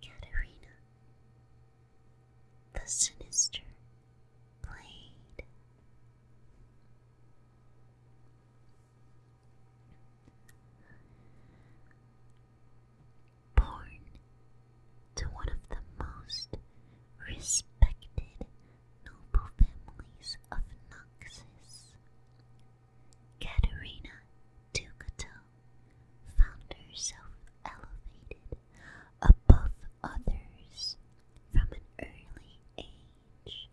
Katerina, the sinister blade. Born to one of the most respected noble families of Noxus, Katerina Ducato found herself elevated above others from an early age,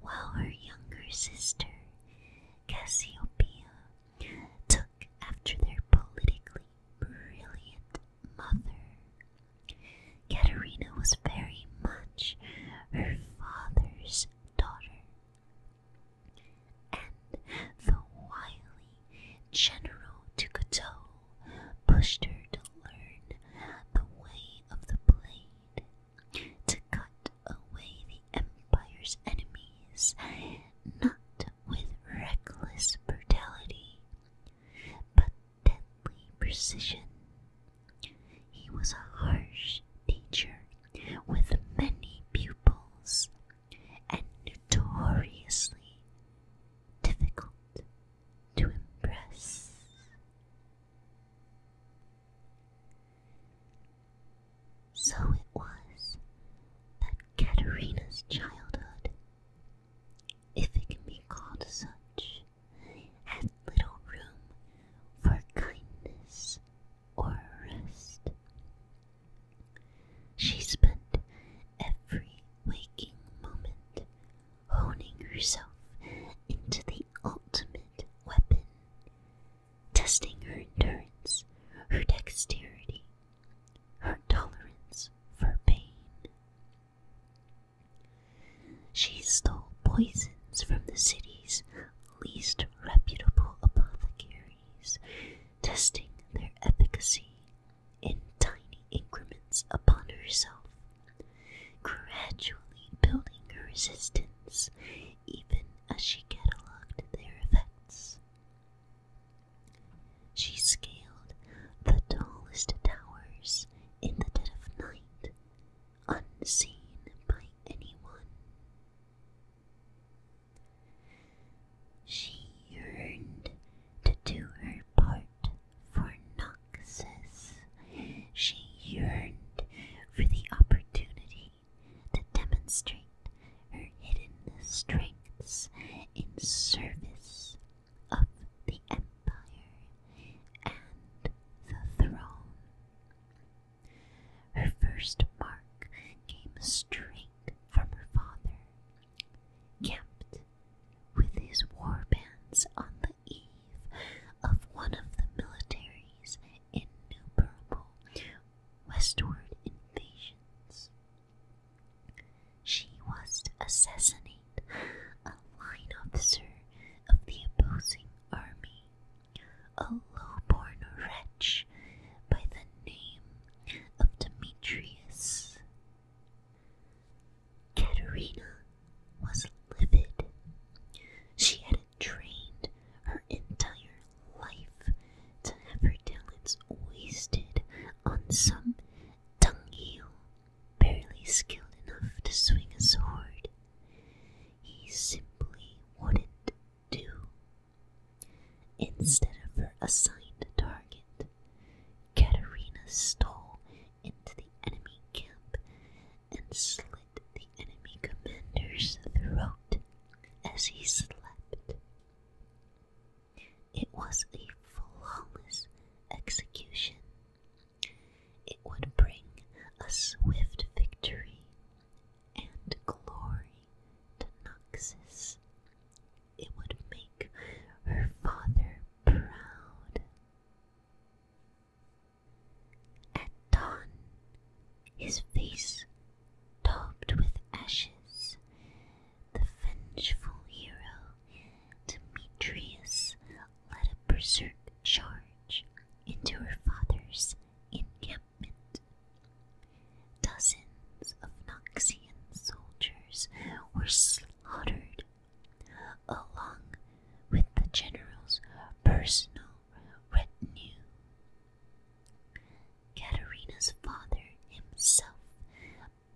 while her younger sister Cassiopeia took after their politically brilliant mother. Katerina was very much her father's daughter and the wily General Tukoto pushed her to learn the way of the blade, to cut away the Empire's enemies, not with reckless brutality, but deadly precision. He was a harsh teacher with many pupils and notoriously difficult to impress. So it was that Katerina's childhood, if it can be called such, little room for kindness or rest. She spent every waking moment honing herself into the ultimate weapon, testing her endurance, her dexterity, her tolerance for pain. She stole poisons from the city's least reputable apothecaries, testing their efficacy in tiny increments upon herself, gradually building her resistance even as she catalogued their effects. She scaled the tallest towers in the dead of night, unseen by anyone. She yearned to do her part for Noxus. She yearned for the opportunity to demonstrate her hidden strengths in service of the Empire and the throne. Her first mark came straight from her father, camped with his war bands on the eve of one of the military's innumerable westward invasions. She was to assassinate a line officer of the opposing army, a low-born wretch by the name of Demetrius. Katerina was livid. She had trained her entire life to have her talents wasted on some dunghill barely skilled enough to swing a sword. He simply wouldn't do. Instead of her assigned target, Katerina stole into the enemy camp and slit the enemy commander's throat as he slept. It was a flawless execution, it would bring a swift victory and glory to Noxus. It would make her father proud. At dawn, his face topped with ashes, the vengeful hero Demetrius led a berserk charge into her father's encampment. Dozens of Noxian soldiers were slaughtered, along with the general's personal retinue. Katerina's father himself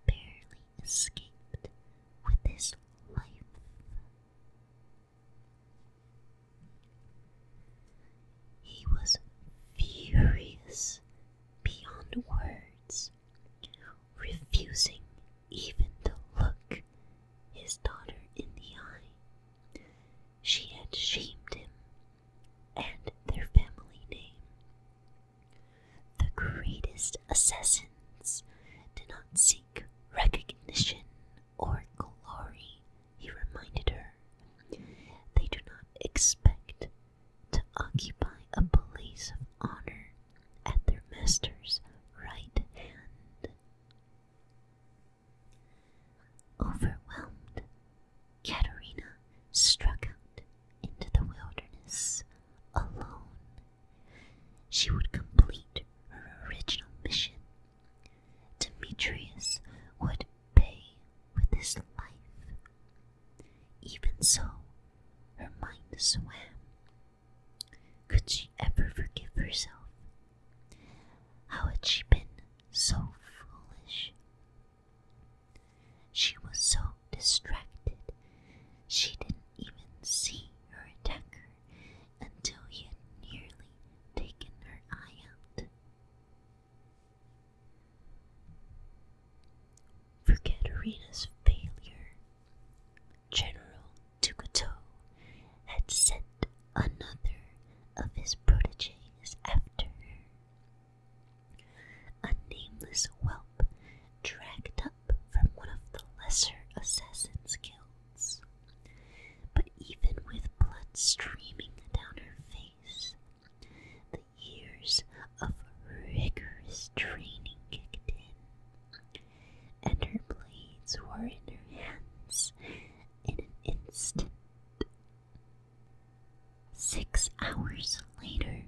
barely escaped with his life. He was furious beyond words, refusing even to look his daughter in the eye. She had shamed him and their family name the greatest assassins do not seek recognition or glory, he reminded her. They do not expect to occupy a place of honor at their master's right hand. Overwhelmed, Katerina struck out into the wilderness alone she would complete her original mission. Demetrius would pay with his life. Even so, her mind swam. Could she ever forgive herself? How had she been so foolish? She was so distracted. She didn't even see her attacker until he had nearly taken her eye out. For Katerina's failure, General Tukuto had sent another of his proteges after her. A nameless whelp dragged up from one of the lesser assassins' guilds. But even with blood streaming down her face, the years of rigorous training kicked in, and her blades were in her hands in an instant. Six hours later,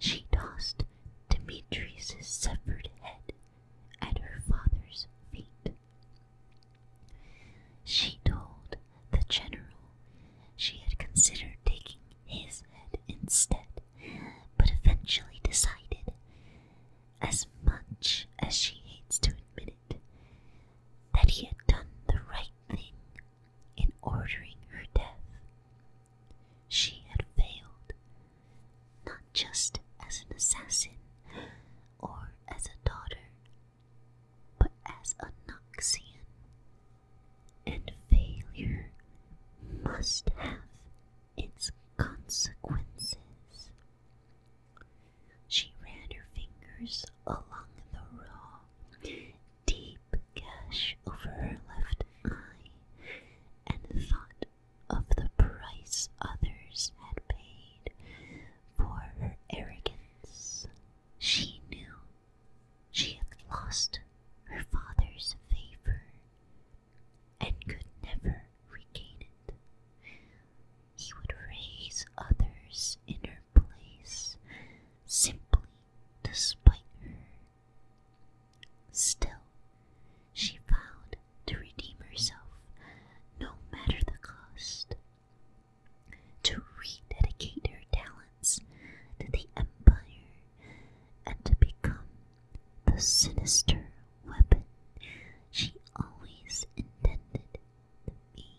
she tossed Demetrius's severed head at her father's feet. She told the general she had considered taking his head instead, but eventually decided, as much as she hates to admit it, that he had done the right thing in ordering her death. She had failed, not just as an assassin or as a daughter, but as a Noxian. And failure must have its consequences. She ran her fingers along the raw deep gash over her left eye and thought of the price others had paid for her arrogance. She knew she had lost her father's favor and could never regain it. He would raise others in her place simply to spite her. Still, she vowed to redeem herself no matter the cost, to rededicate her talents to the Empire, and to become the sinister weapon she always intended to be.